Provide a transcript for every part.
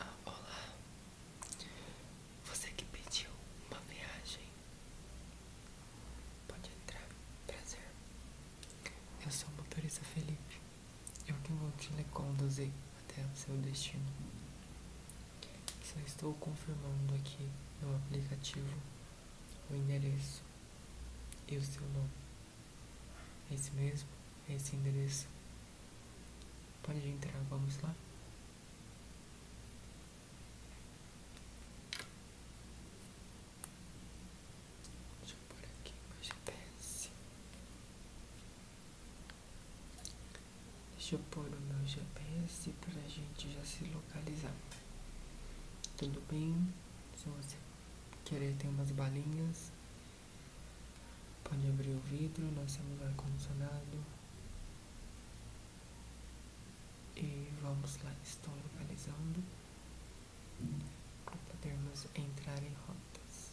Ah, olá, você que pediu uma viagem pode entrar, prazer. Eu sou o motorista Felipe, eu que vou te conduzir até o seu destino. Só estou confirmando aqui no aplicativo o endereço e o seu nome. É esse mesmo? É esse endereço? Pode entrar, vamos lá? Deixa eu pôr aqui meu GPS. Deixa eu pôr o meu GPS para a gente já se localizar. Tudo bem? Se você querer, tem umas balinhas. Pode abrir o vidro, nós temos ar-condicionado. E vamos lá, estou localizando para podermos entrar em rotas.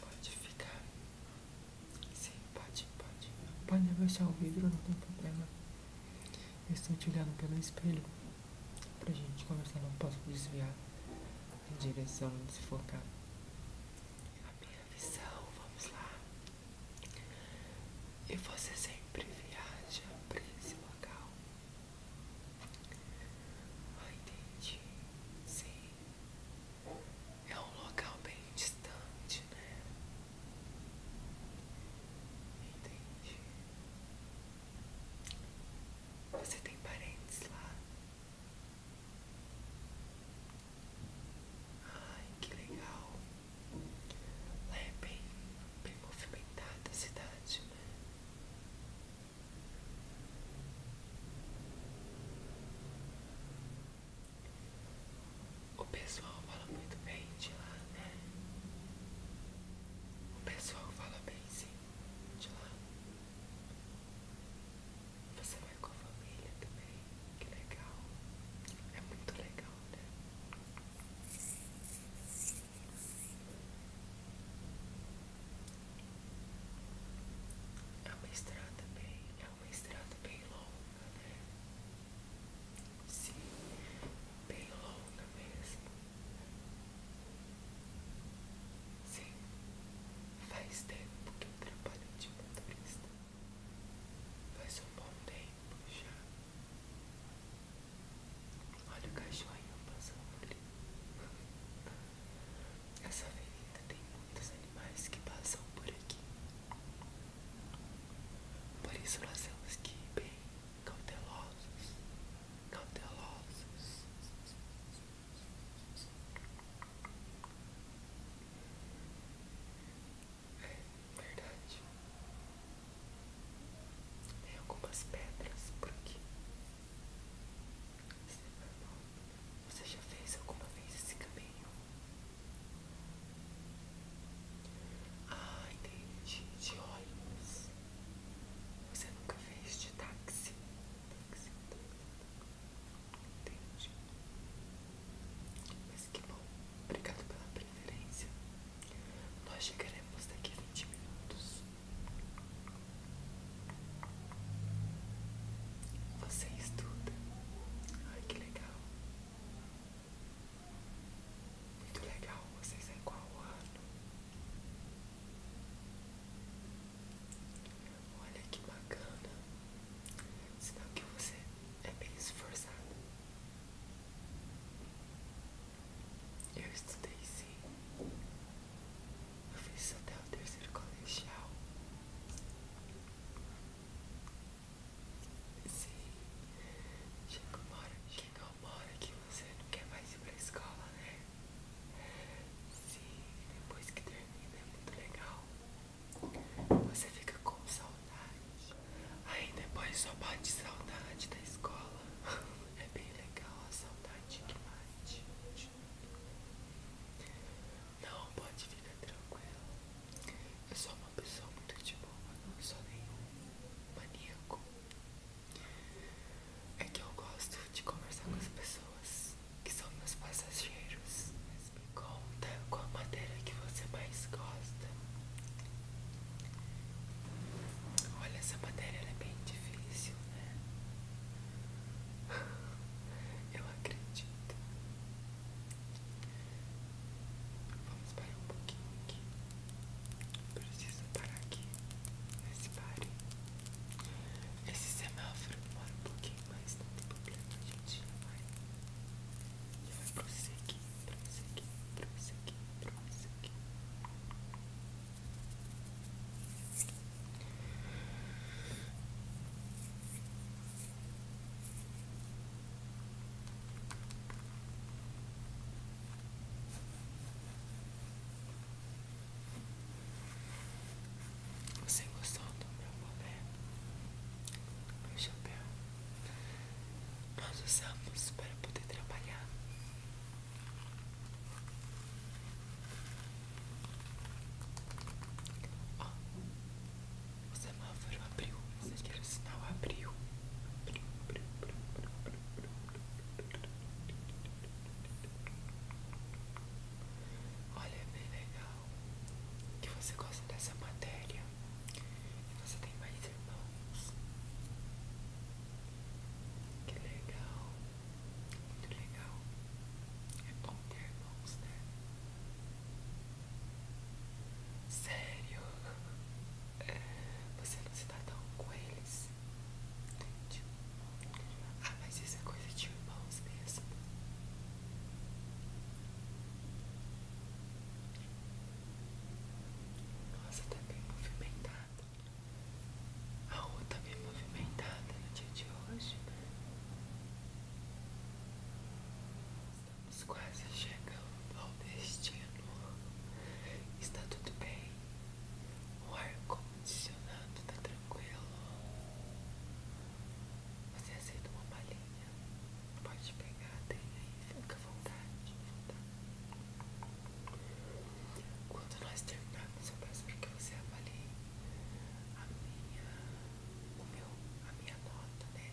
Pode ficar. Sim, pode, pode. Pode abaixar o vidro, não tem problema. Eu estou te olhando pelo espelho pra gente conversar. Não posso desviar em direção de se focar. A minha visão, vamos lá. E você sempre viaja para esse local. Ah, entendi. Sim, é um local bem distante, né? Entendi. Você tem parentes lá? Ai, que legal. Lá é bem, bem movimentada a cidade, né? O pessoal fala muito bem de lá, né? O pessoal fala bem sim de lá. Você vai com a família também, que legal. É muito legal, né? É uma estrada bem, é uma estrada bem longa, né? Sim, bem longa mesmo. Sim, faz tempo que eu trabalho de motorista. Faz um bom tempo já. Olha o cachorrinho passando ali. Essa avenida tem muitos animais que passam por aqui. Por isso nós temos que ir bem cautelosos, cautelosos. É verdade. Tem algumas pedras por aqui. Você já fez alguma vez esse caminho? Ah, entendi. De ônibus. Você nunca fez de táxi? Táxi, táxi. Entendi. Mas que bom. Obrigado pela preferência. Nós chegaremos daqui a 20 minutos. Você estuda. Ai, que legal. Muito legal. Vocês é qual ano? Olha que bacana. Sinal que você é bem esforçado. Eu estudei sim. Eu fiz até o terceiro colegial. Sim. Chega uma hora, chega uma hora que você não quer mais ir pra escola, né? Sim, depois que termina é muito legal. Você fica com saudade. Aí depois só bate saudade da escola. É bem legal a saudade que bate. Não, pode ficar tranquila. Eu sou uma pessoa muito de boa, não sou nenhum maníaco. É que eu gosto de conversar com as pessoas que são meus passageiros. Mas me conta qual a matéria que você mais gosta. Olha, essa matéria é bem difícil, né? Eu acredito. Vamos parar um pouquinho aqui. Preciso parar aqui nesse pare. Esse semáforo demora um pouquinho, mas não tem problema, a gente já vai. Já vai prosseguir, prosseguir, prosseguir, prosseguir. Você gostou do meu boné? Meu chapéu? Nós usamos para poder trabalhar. Ó, o semáforo abriu. Vocês querem o sinal? Abriu. Abriu, abriu, abriu, Olha, é bem legal que você gosta dessa matéria e você tem mais irmãos. Que legal. Muito legal. É bom ter irmãos, né? Sério? Você não se dá tão com eles? Entendi. Ah, mas isso é coisa de irmãos mesmo. Nossa, tá bem movimentado. A rua tá bem movimentada no dia de hoje. Estamos quase chegando ao destino. Está tudo bem. O ar condicionado tá tranquilo. Você aceita uma malinha? Pode pegar, tem aí, fica à vontade. Quando nós terminarmos, eu peço para que você avalie a minha, o meu, a minha nota, né?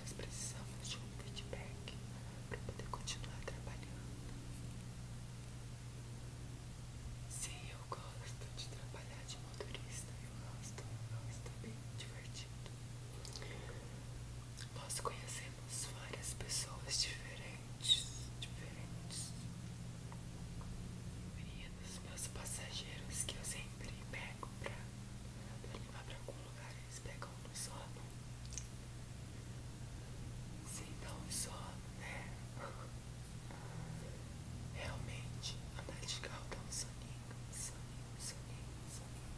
Nós precisamos de um feedback para poder continuar trabalhando. Sim, eu gosto de trabalhar de motorista, eu gosto, eu gosto é bem divertido. Nós conhecemos várias pessoas diferentes, diferentes. Maria dos meus passageiros que eu sempre pego pra, pra levar pra algum lugar, eles pegam um sono. Sem dar um sono, né? Realmente, andar de carro dá um soninho, soninho, soninho, soninho.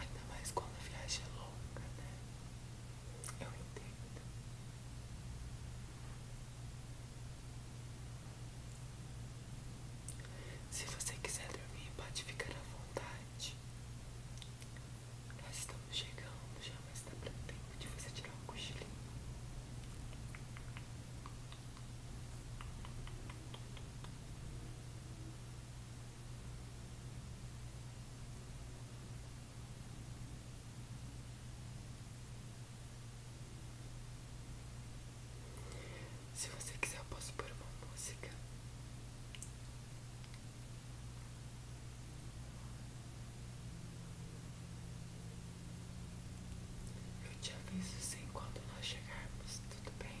Ainda mais quando a viagem é longa, né? Eu entendo. Se você quiser dormir, pode ficar à vontade. Nós estamos chegando já, mas dá pra tempo de você tirar um cochilinho. Se você quiser, eu posso pôr uma música. Eu te aviso sim quando nós chegarmos, tudo bem?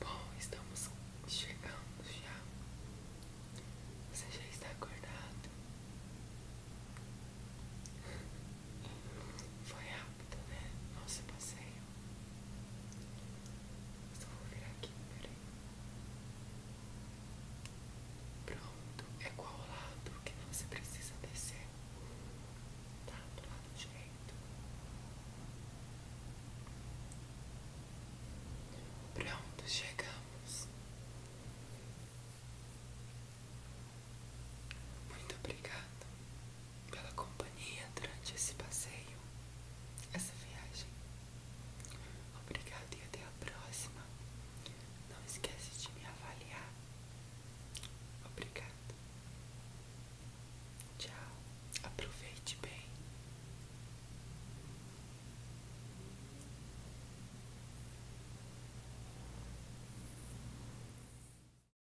Bom, estamos chegando já. Você já está acordado? Foi rápido, né? Nossa, eu passei só vou virar aqui, peraí. Pronto, é qual lado que você precisa descer? Tá do lado direito. Pronto, chegamos. Muito obrigada pela companhia durante esse passeio, essa viagem. Obrigado e até a próxima. Não esquece de me avaliar. Obrigado. Tchau. Aproveite bem.